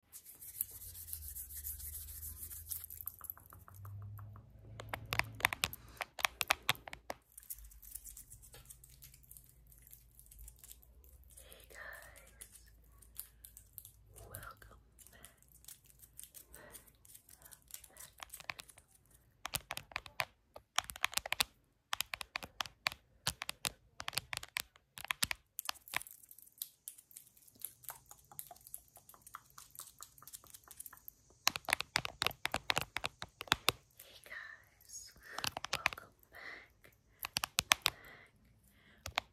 Hey guys, welcome back. back, back. Hey guys, welcome back,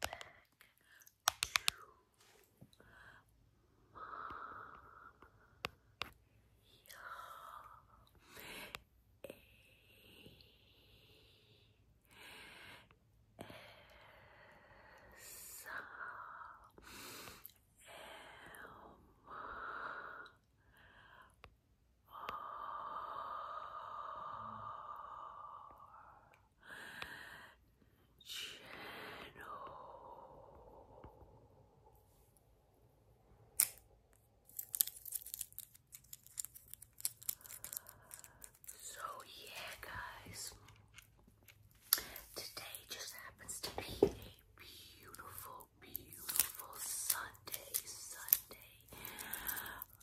back, back to my yeah. S M R so yeah guys, today just happens to be a beautiful, beautiful Sunday, Sunday,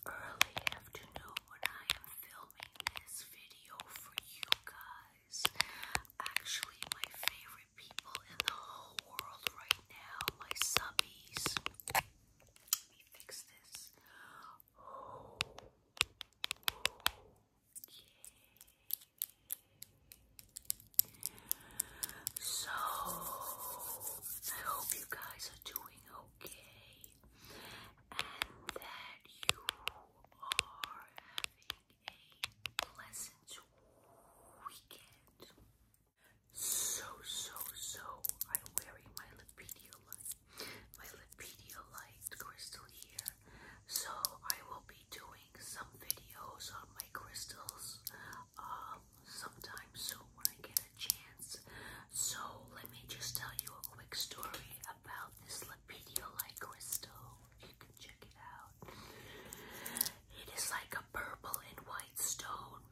early afternoon when I am filming this video for you guys. Actually, my favorite people in the whole world right now, my subbies. Let me fix this. So, I hope you guys are doing okay and that you are having a pleasant weekend. So, so, so, I'm wearing my Lepedia my Lipedia crystal here. So I will be doing some videos on my crystals um, sometime soon when I get a chance. So let me just tell you a quick story about this Lipedia Light crystal. You can check it out. It is like a purple and white stone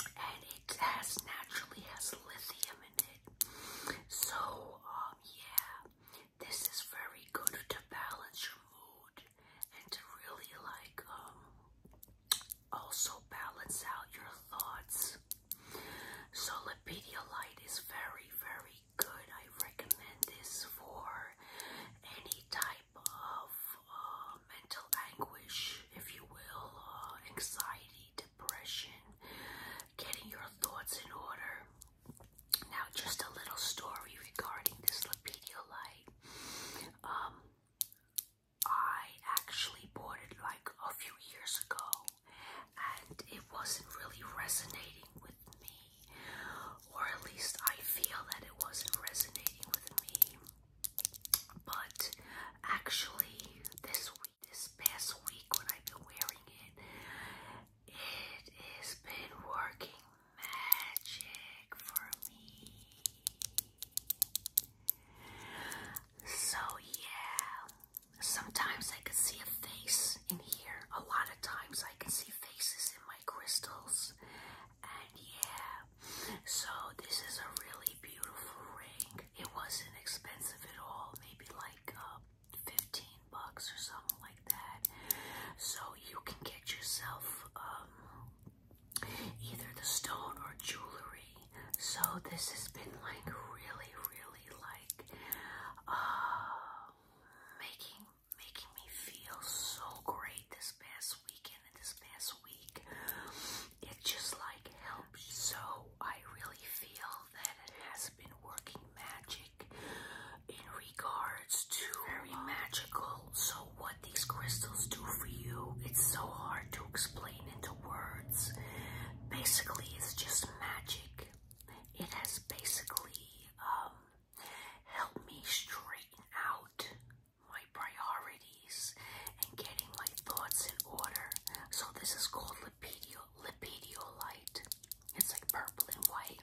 and it has naturally has lithium in it. So um yeah, this is very good to balance your mood and to really like um also balance out your thoughts. So is very very good. I recommend this for any type of uh, mental anguish if you will, uh, anxiety, depression, getting your thoughts in order. Now, just a little story regarding this Light. Um, I actually bought it like a few years ago, and it wasn't really resonating with me, or at least I feel that it wasn't resonating with me. But actually, this week, this past week, when I've been wearing it, it has been working magic for me. So, yeah, sometimes I can see a face in here. A lot of times I can see faces in my crystals. And yeah, so this is a really beautiful ring. It wasn't expensive at all, maybe like uh, 15 bucks or something like that. So you can get yourself um, either the stone or jewelry. So this has been like really, really like uh, making making me feel so great this past weekend and this past week it just like helps. So I really feel that it has been working magic in regards to very magical. So what these crystals do for you, it's so hard to explain into words. Basically, it's just magic. It has basically um helped me straighten out my priorities and getting my thoughts in order. So this is called lipidio lipidiolite. It's like purple and white.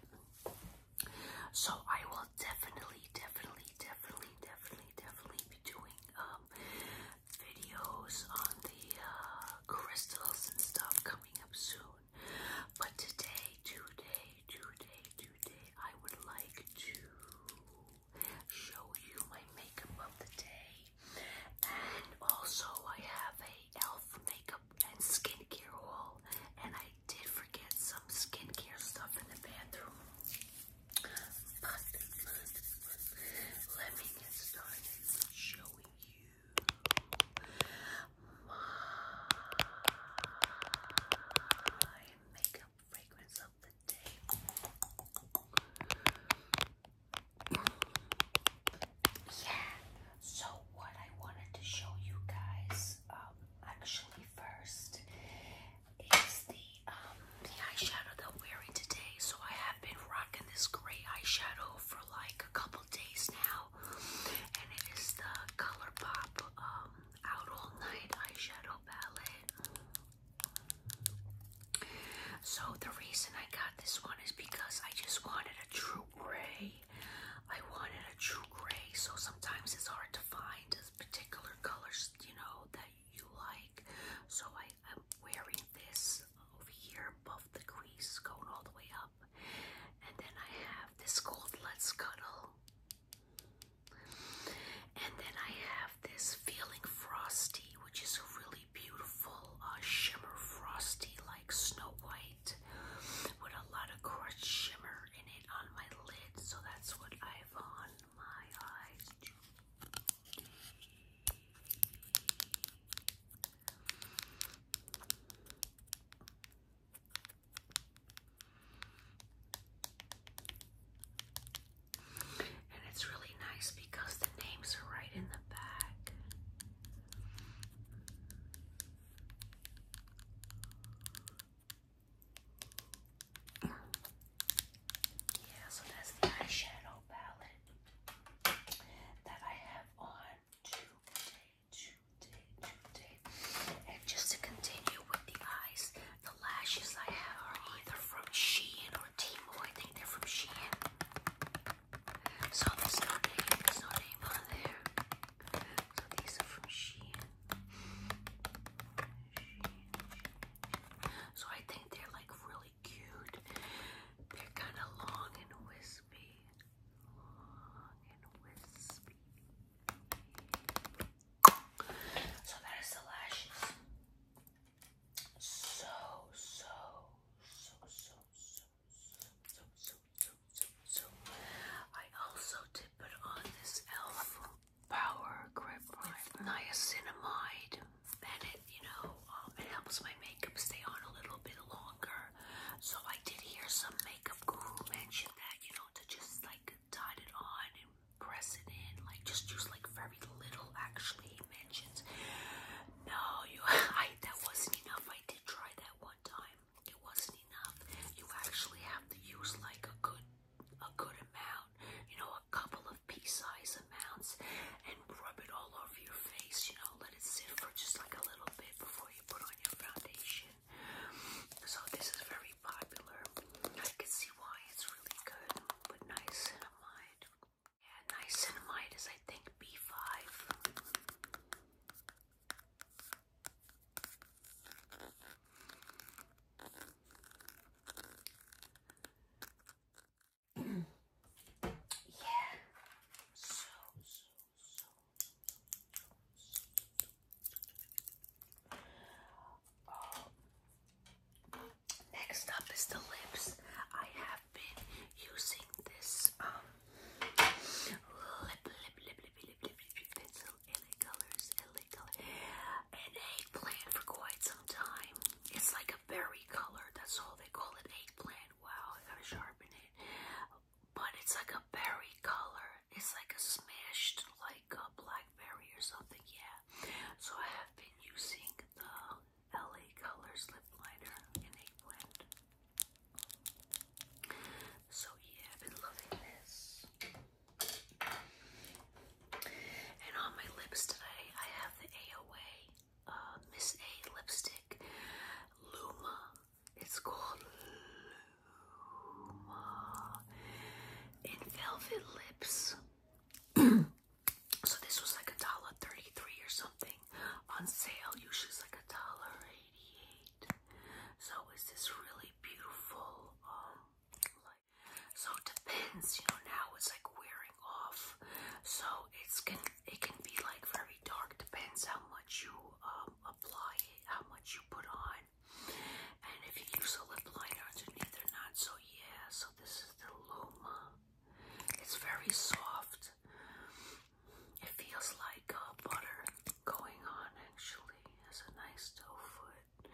So I will definitely, definitely, definitely, definitely, definitely be doing um, videos on the uh, crystals and stuff coming up soon. But today, today, today, today, I would like to show you my makeup of the day. And also I have a elf makeup and skincare haul. And I did forget some skincare stuff in the bathroom. But, let me get showing you my makeup fragrance yeah. So what I wanted to show you guys, um, actually first, is the um the eyeshadow that I'm wearing today. So I have been rocking this gray eyeshadow for like a couple days now, and it is the ColourPop um Out All Night Eyeshadow Palette. So the reason I got this one is because I just wanted a true gray. I wanted a true gray, so sometimes it's hard to find particular colors, you know, that you like. So I, am wearing this over here above the crease, going all the way up. And then I have this gold Let's Cuddle. And then I have this Feeling Frosty, which is a really beautiful uh, shimmer frosty like Snow White with a lot of crushed shimmer in it on my lid. So that's what I have on my eyes. And it's really nice because the names are right in the back. Yeah, so that's the eyeshadow palette that I have on today, today, today. And just to continue with the eyes, the lashes I have are either from Shein or Timo. I think they're from Shein. So there's no name, there's no name on there. So these are from Shein. So I think they're like really cute. They're kind of long and wispy. Long and wispy. So that is the lashes so, so, so, so, so, so, so, so, so, so. I also did put on this e.l.f. Power Grip Primer. Niacinamide, and it, you know, um, it helps my makeup stay on a little bit longer. So I did hear some makeup guru mention that, you know, to just like tied it on and press it in. Like just use like very little. Actually, mentions. No, you. I that wasn't enough. I did try that one time. It wasn't enough. You actually have to use like a good, a good amount. You know, a couple of pea size amounts, and rub it all over your face. You know, let it sit for just like a little bit before you put on your foundation. So this is very popular. I can see why it's really good with niacinamide. Yeah, niacinamide is, I think, B5. yeah, um, next up is the lips. I have been using this um lip lip lip lip lip lip, lip pencil LA colors LA color and eggplant for quite some time. It's like a berry color. That's all they call it eggplant. Wow, I gotta sharpen it. But it's like a berry color. It's like a smashed like a black Blackberry or something, yeah. So I have been using the LA Colors lip liner in eggplant. So yeah, I've been loving this. And on my lips today, I have the AOA uh, Miss A lipstick, Luma. It's called Luma in Velvet Lips. so this was like a dollar thirty-three or something on sale. Usually it's like a dollar eighty-eight. So is this really beautiful? Um, so it depends. You know now it's like wearing off, so it's can it can be like very dark. Depends how much you um, apply it, how much you put on. And if you use a lip liner underneath or not, so yeah, so this is the Luma. It's very soft. It feels like uh, butter going on actually. It has a nice dough foot.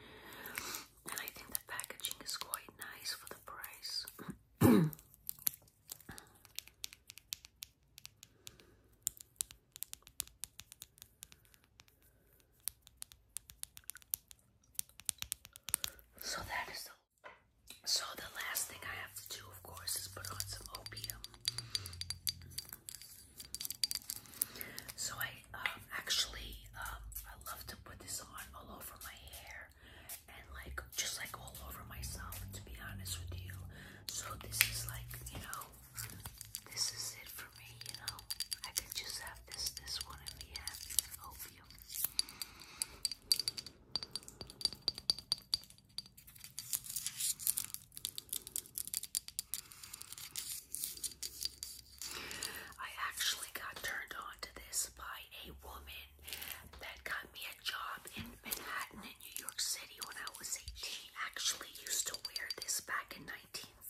And I think the packaging is quite nice for the price. So that is the so the last thing I have to do, of course, is put on some opium. So I um, actually um, I love to put this on all over my hair and like just like all over myself. To be honest with you, so this is like you know this is it for you know. I could just have this, this one, and be happy I actually got turned on to this by a woman that got me a job in Manhattan in New York City when I was 18. Actually used to wear this back in 19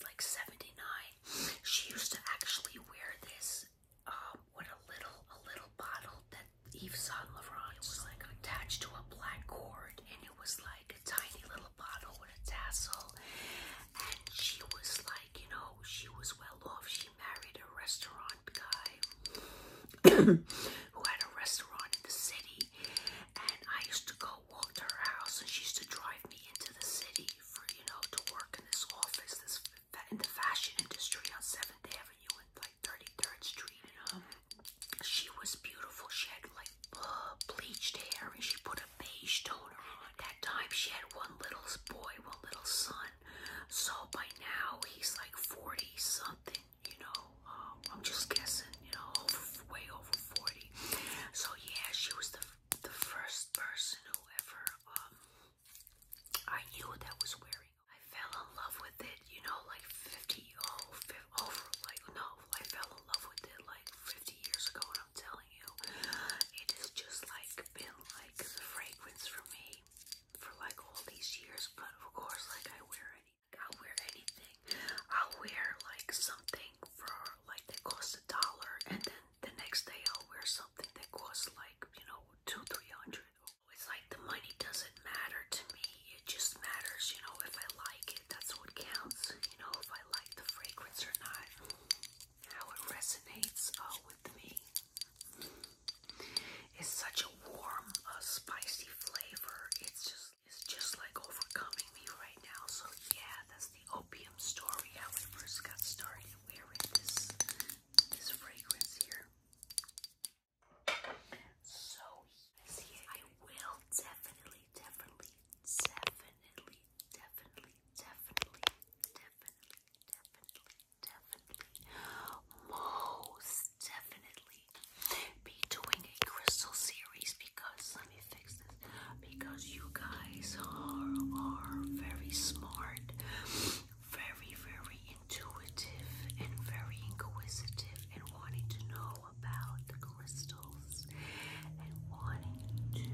like 79 she used to actually wear this um, with a little a little bottle that Eve Yves Saint Laurent was like attached to a black cord, and it was like a tiny little bottle with a tassel. And she was like, you know, she was well off. She married a restaurant guy who had a restaurant in the city, and I used to go walk to her house, and she used to drive me into the city you know to work in this office, this in the fashion industry on Seventh Avenue and like Thirty Third Street. And, um, she was beautiful. She had like bleached hair, and she put a beige toner on. At that time, she had one little boy, one little son. So by now, he's like forty something. You know, um, I'm just guessing. You know, way over forty. So yeah, she was the the first person who ever um, I knew that was wearing. I fell in love with it, you know, like 50 oh, over oh, like no, I fell in love with it like 50 years ago, and I'm telling you, it is just like been like the fragrance for me for like all these years. But of course, like I wear any, I'll wear anything. I'll wear like something something for like that costs a dollar, and then the next day I'll wear something that costs like you know two, three hundred. It's like the money doesn't matter to me, it just matters, you know, if I like it, that's what counts, you know, if I like the fragrance or not, how it resonates uh, with me. It's such a warm, uh, spicy flavor. It's just, it's just like overcoming me right now. So yeah, that's the opium story, how we first got started wearing this this fragrance here. So I will definitely, definitely, definitely, definitely, definitely, definitely, definitely, definitely, most definitely be doing a crystal series because because you guys are are very smart, very very intuitive and very inquisitive and wanting to know about the crystals and wanting to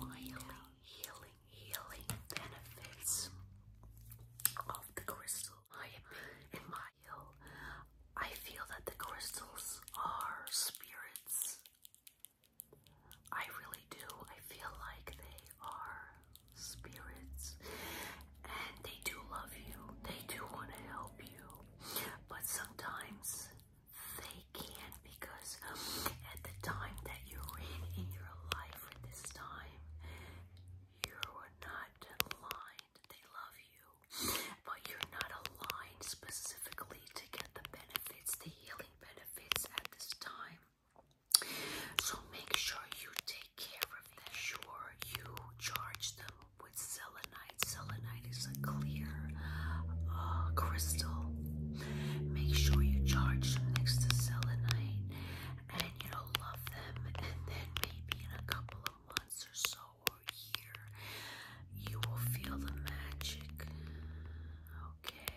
find out healing healing benefits of the crystal. I am in my hill. I feel that the crystals are spirits. I really do. I feel like they are spirits. And they do love you. They do want to help you. But sometimes they can't because at the time that you're in in your life at this time, you are not aligned. They love you but you're not aligned specifically to get the benefits, the healing benefits at this time. So make sure you take care of that. Sure, you charge them with selenite. Selenite is a clear uh, crystal. Make sure you charge them next to selenite and you know, love them. And then maybe in a couple of months or so, or here, you will feel the magic. Okay,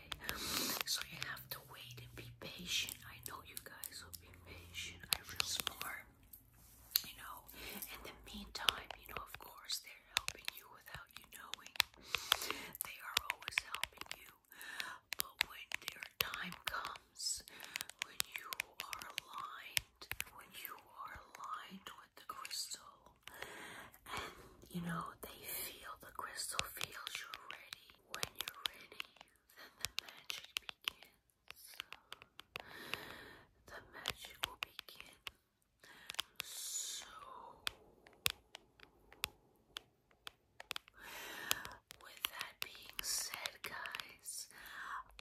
so you have to wait and be patient. I know you guys will be patient. I feel smart, you know. In the meantime, you know, of course, they're helping you without you knowing. They are always helping you. But when their time comes, when you are aligned when you are aligned with the crystal and you know they feel the crystal feels you're ready when you're ready then the magic begins the magic will begin so with that being said guys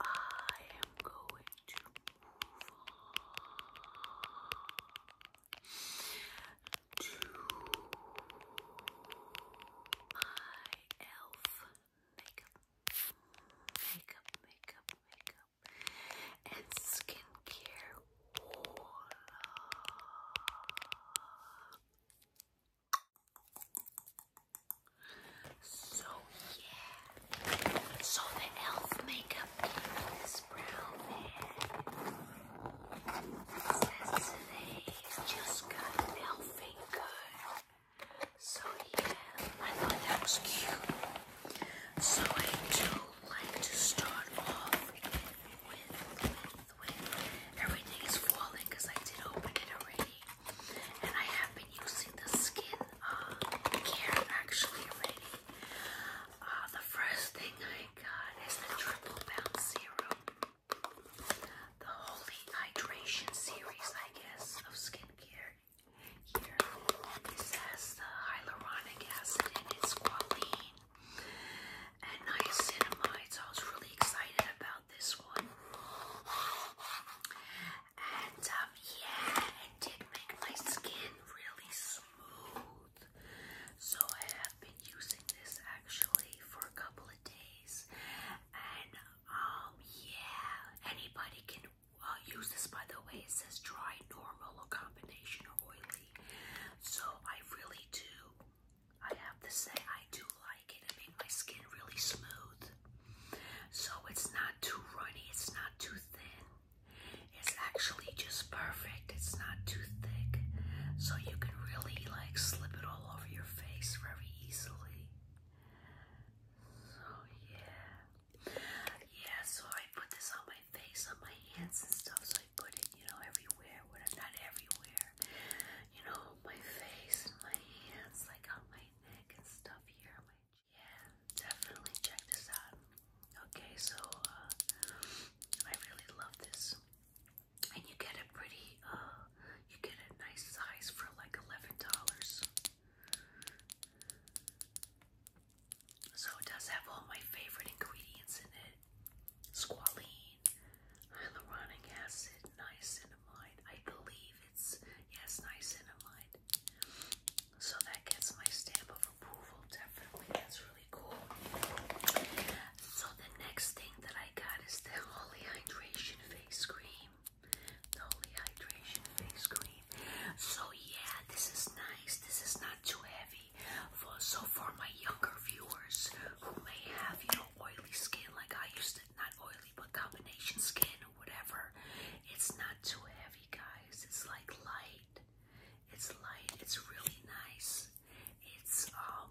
I am going to to my elf makeup, makeup, makeup, makeup, and skincare wall. So yeah. So the elf makeup is brown man. just got elfing good. So yeah, I thought that was cute. So I do like to start off with, everything is falling because I did open it already. And I have using this skin care uh, actually uh, the first thing I got is the Triple Bound Serum, the Holy Hydration series, I guess, of skincare. Here has the hyaluronic acid in squalene, and niacinamide. So I was really excited about this one. And um, yeah, it did make my skin really smooth. So I have been using this actually for a couple of days. And um, yeah, anybody can uh, use this by the way. It says dry, normal, or combination, or oily. So I really do, I have to say, I do like it. It made my skin really smooth. So it's not too runny, it's not too thin. It's actually just perfect. It's not too thick. So you can really like slip it all over your face very easily. So yeah. Yeah, so I put this on my face, on my hands and stuff. So I put it, you know, everywhere. Well, not everywhere. You know, my face and my hands, like on my neck and stuff here. My yeah, definitely check this out. Okay, so uh, I really love this, and you get a pretty, uh, you get a nice size for like eleven dollars. So it does have all my favorite ingredients in it: squalene, hyaluronic acid, niacinamide. I believe it's yes, niacinamide. So that gets my stamp of approval, definitely. That's really cool. So the next thing that I got is the Holy Hydration Face Cream. The Holy Hydration Face Cream. So yeah, this is nice. This is not too heavy. so for my younger viewers who may have, you know, oily skin like I used to not oily, but combination skin whatever. It's not too heavy, guys. It's like light. It's light. It's really nice. It's um,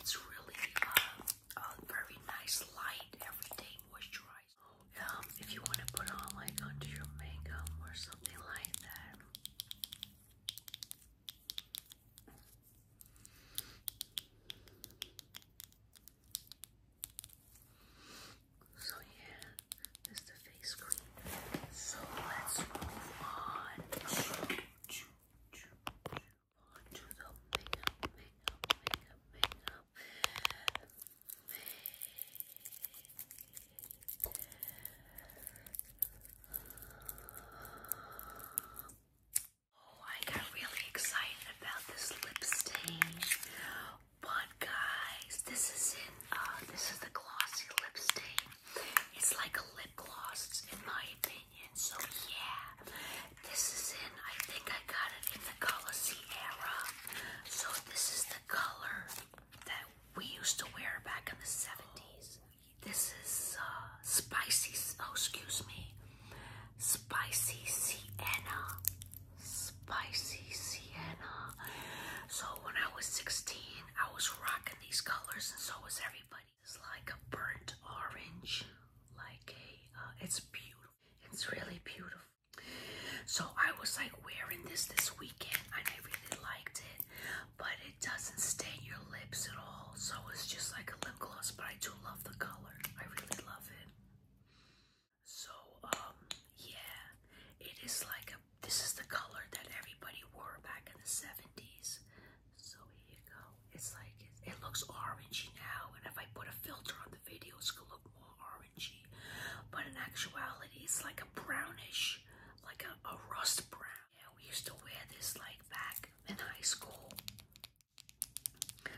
it's really uh, a very nice light everyday moisturizer. Um, if you want to put on like under your makeup or something like that. So yeah, that's the face cream. So let's move on to the makeup, makeup, makeup, makeup. Oh, I got really excited about this lip stain. But guys, this is in uh this is the glossy lipstick. It's like a lip gloss in my opinion. So yeah. This is in I think I got it in the color era. So this is the color that we used to wear back in the 70s. This is uh spicy oh excuse me spicy sienna. Spicy sienna. So when I was 16, I was rocking these colors, and so was everybody. It's like a burnt orange, like a. Uh, it's beautiful. It's really beautiful. So I was like wearing this this weekend, and I really liked it, but it doesn't stain your lips at all. So it's just like a lip gloss, but I do love the color. I really love it. So, um, yeah, it is like a, this is the color that everybody wore back in the 70s. So here you go. It's like, it, it looks orangey now. And if I put a filter on the video, it's gonna look more orangey. But in actuality, it's like a brownish, like a, a rust brown. Yeah, we used to wear this like back in high school.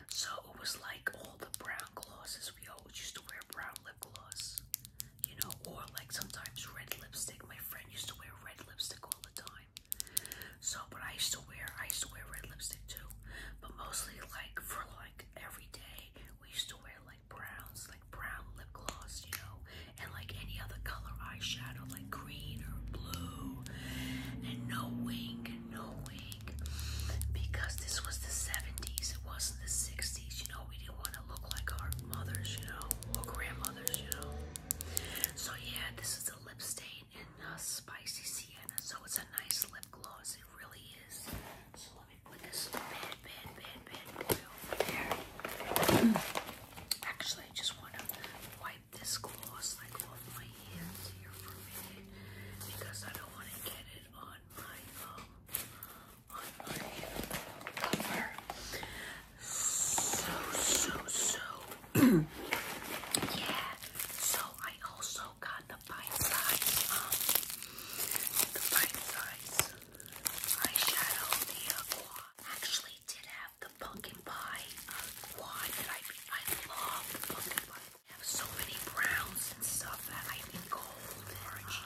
So it was like all the brown glosses. We always used to wear brown lip gloss, you know, or like sometimes red lipstick. My friend used to wear red lipstick all the time. So, but I used to wear, I used to wear red lipstick too. But mostly like for like every day, we used to wear like browns, like brown lip gloss, you know, and like any other color eyeshadow, like green or blue, and no wing, no wing because this was the 70s, it wasn't the 60s. You know, we didn't want to look like our mothers, you know, or grandmothers, you know. So, yeah, this is a lip stain in a Spicy Sienna, so it's a nice lip gloss, it really is. So, let me put this bad, bad, bad, bad boy over there. Actually, I just want to wipe this gloss like off my um, so so so yeah. So I also got the bite size um, the bite size eyeshadow the aqua. Uh, actually did have the pumpkin pie uh, quad that I I love pumpkin pie I have so many browns and stuff I think gold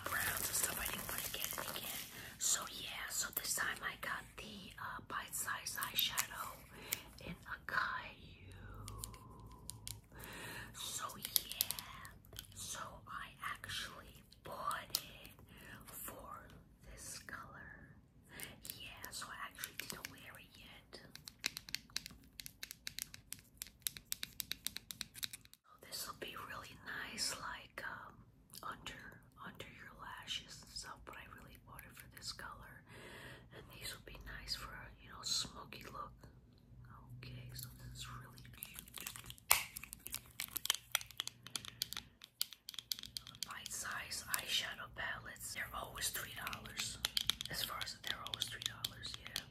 browns and stuff I didn't want to get it again. So yeah, so this time I got the uh, bite size eyeshadow in a Caillou. So yeah, so I actually bought it for this color. Yeah, so I actually didn't wear it yet. Oh, this will be really nice, like um, under under your lashes and stuff. But I really bought it for this color, and these will be nice for a you know smoky look. Okay, so this is really cute. bite-size eyeshadow palettes—they're always three dollars. As far as price of their three dollars, yeah.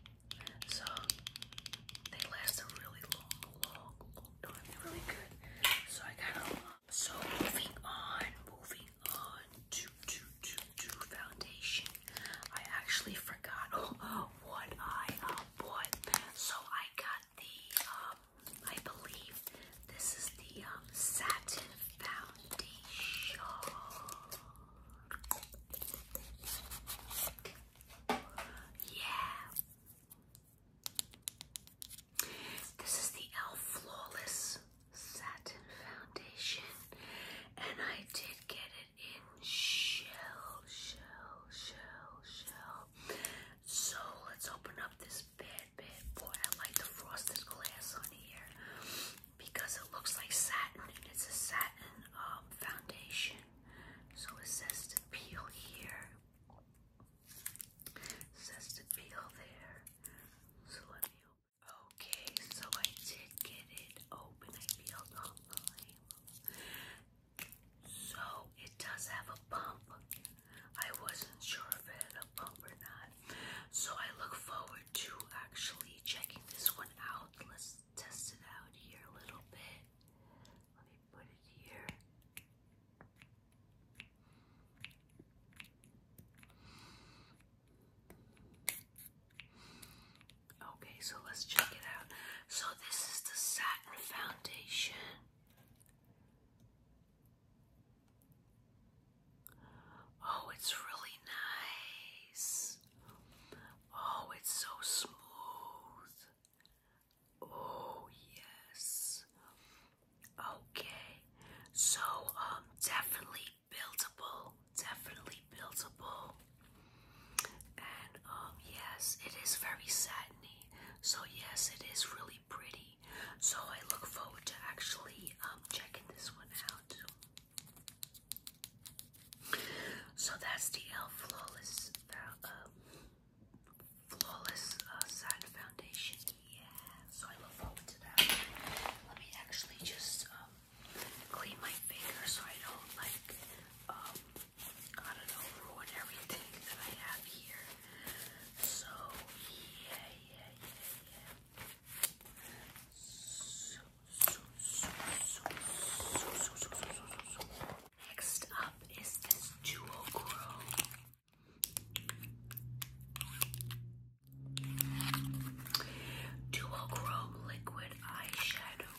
So they last a really long, long, long time. really good. So I got them. So moving on, moving on to to to to foundation. I actually forgot oh, what I uh, bought. So I got the um, I believe this is the um, satin foundation. Yeah. This is the Elf Flawless Satin Foundation. And I did get it in shell, shell, shell, shell. So let's open up this bad, boy. I like the frosted glass on here because it looks like satin it's a satin um, foundation. So it says to peel here, says to peel there. So let me Okay, so I did get it open. I peeled all the label. So it does have a bump. I wasn't sure if it had a bump or not. So I look forward to actually checking this one out. Let's test it out here a little bit. Let me put it here. Okay, so let's check it out. So this is the satin foundation. Oh, it's really nice. Oh, it's so smooth. Oh, yes. Okay. So, um, definitely buildable. Definitely buildable. And, um, yes, it is very satiny. So, yes, it is really pretty. So, I look forward to actually, um, checking this one out. So that's the L Flawless uh, Flawless uh, Side Foundation. Yeah, so I look forward to that. Let me actually just um, clean my finger so I don't like um, I don't know ruin everything that I have here. So yeah, yeah, yeah, yeah. Next up is this duo grow. Duochrome liquid eyeshadow.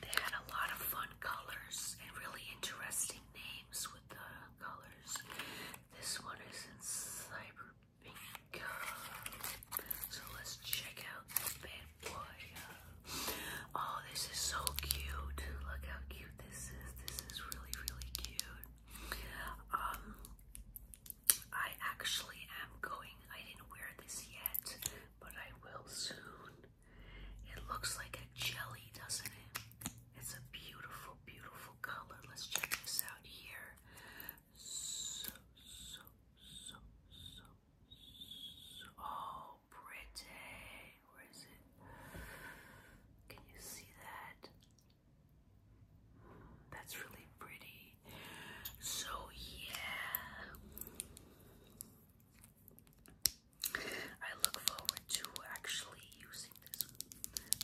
They had a lot of fun colors and really interesting names with the colors. This one is in cyber pink. So let's check out this bad boy. Oh, this is so cute. Look how cute this is. This is really, really cute. Um, I actually am going. I didn't wear this yet, but I will soon. It looks like a jelly, doesn't it? It's a beautiful, beautiful color. Let's check this out here. So, so, so, so, so. Oh, pretty. Where is it? Can you see that? That's really pretty. So, yeah. I look forward to actually using this.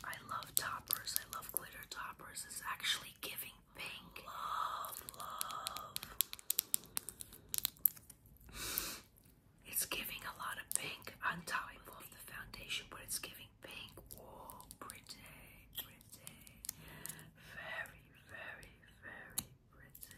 I love toppers. I love glitter toppers. It's actually giving pink. Love, love. It's giving a lot of pink on top of the foundation, but it's giving pink. Oh, pretty, pretty. Very, very, very pretty.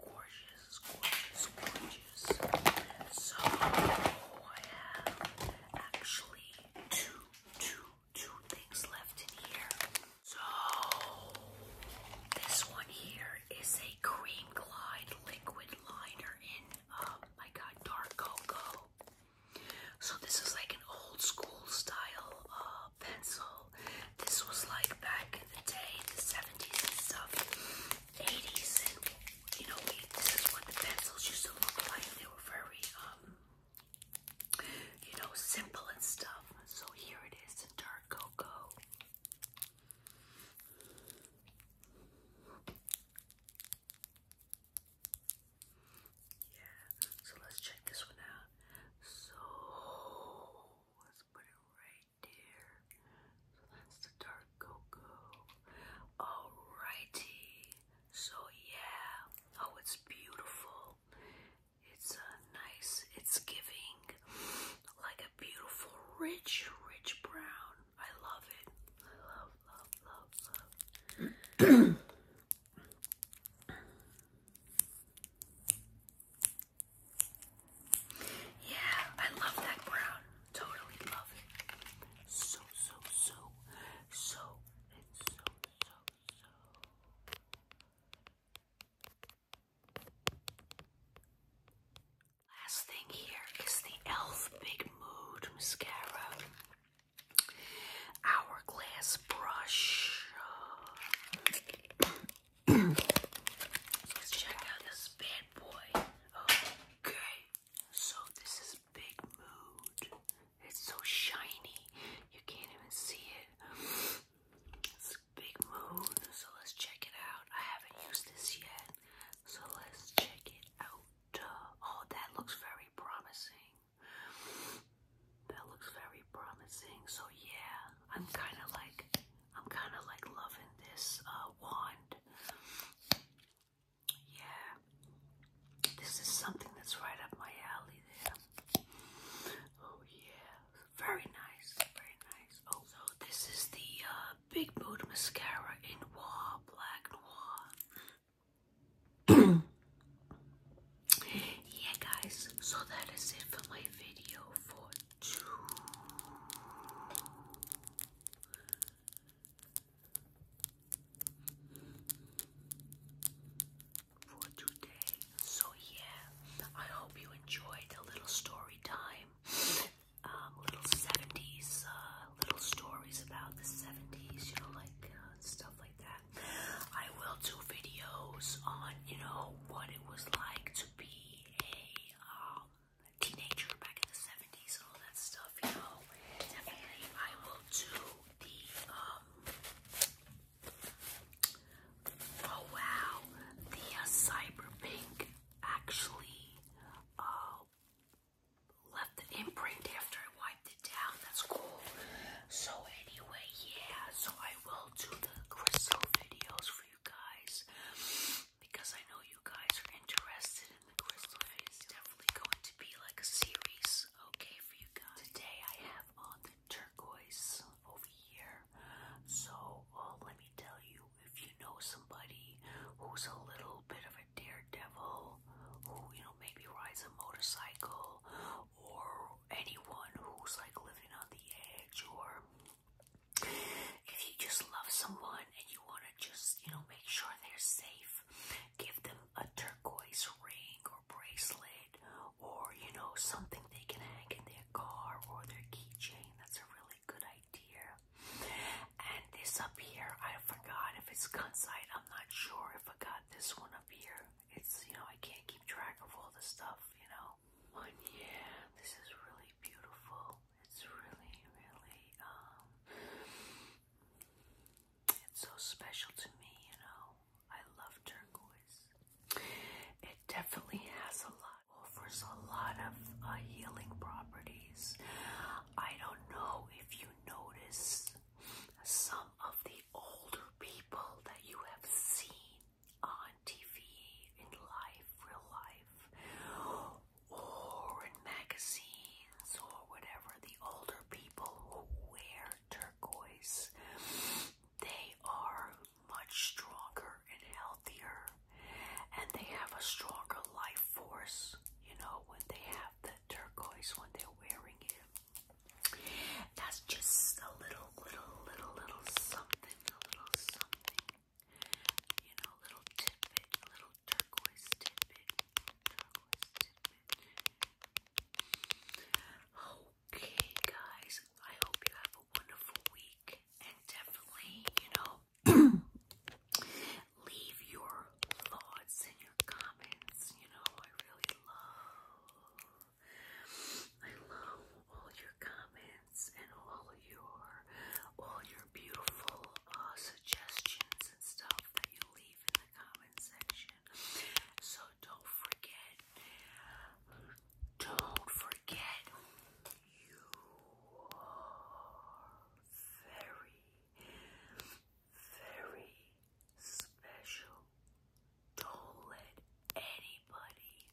gorgeous, gorgeous, gorgeous. So I have actually two, two, two things left in here. So this one here is a cream glide liquid liner in uh my god dark cocoa. So this is like an old school style uh pencil. This was like back in the day, the 70s and stuff. 80s, and you know, this is what the pencils used to look like. They were very, um, you know, simple and stuff. So here it is, in dark cocoa. Yeah, so let's check this one out. So let's put it right right So that's the dark cocoa. Alrighty. So yeah. Oh, it's beautiful. It's a uh, nice, it's giving like a beautiful, rich, rich brown. I love it. I love, love, love, love. Yeah, I love that brown. Totally love it. So, so, so, so, so, so, so. Last thing here is the e.l.f. Big Mood Mascara. Hourglass brush. Let's check out this bad boy. Okay, so this is Big Mood. It's so shiny, you can't even see it. It's Big Mood, so let's check it out. I haven't used this yet, so let's check it out. Oh, that looks very promising. That looks very promising. So yeah, I'm kind of like I'm kind of like loving this uh, wand. Yeah, this is something that's right up my alley there. Oh yeah, very nice, very nice. Oh, this is the uh, Big Mood Mascara in Noir, Black Noir. yeah guys, so that is it for my video for for today. So yeah, I hope you enjoyed a little story time. Um, little 70s, uh, little stories about the 70s, you know, like uh, stuff like that. I will do videos on, you know, what it was like to be a um, teenager back in the 70s and all that stuff, you know. Definitely, I will do the, um, oh wow, the uh, cyberpunk actually uh, left an imprint after I wiped it down. That's cool. So, anyway, yeah, so I will do the crystal videos for you guys because I know you guys are interested in the crystal fit. It's definitely going to be like a series, okay, for you guys. Today I have on the turquoise over here. So uh, let me tell you, if you know somebody who's a little bit of a daredevil, who you know maybe rides a motorcycle, or anyone who's like living on the edge, or if you just love someone and you want to just, you know, make sure they're safe, give them a turquoise ring or bracelet or, you know, something they can hang in their car or their keychain. That's a really good idea. And this up here, I forgot if it's Kunsite. I'm not sure. if I got this one up here. It's, you know, I can't keep track of all the stuff, you know. But yeah, this is really beautiful. It's really, really, um, it's so special to me, you know. I love turquoise. It definitely has a lot, offers a lot of uh, healing properties. I don't know if you notice some of the older people that you have seen on TV, in life, real life, or in magazines, or whatever. The older people who wear turquoise, they are much stronger and healthier, and they have a stronger life force, you know, when they have the turquoise, when they're wearing it. That's just a little, little, little, little something, a little something you know, little tidbit, little turquoise tidbit, Okay, guys, I hope you have a wonderful week, and definitely, you know, leave your thoughts and your comments. You know, I really love, I love all your comments comments and all your all your beautiful uh, suggestions and stuff that you leave in the comment section. So don't forget, don't forget, you are very, very special. Don't let anybody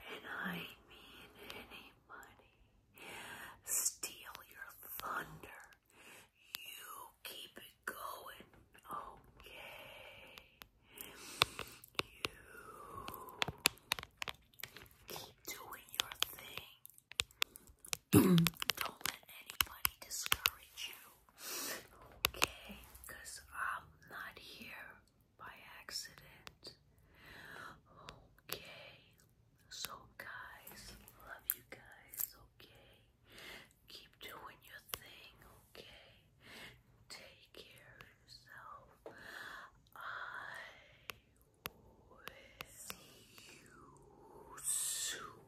and I mean anybody, steal your thunder. You keep it going, okay? You keep doing your thing. Don't let anybody discourage you, okay? I'm not here by accident. Okay, so guys, love you guys, okay? Keep doing your thing, okay? Take care of yourself. I will see you soon.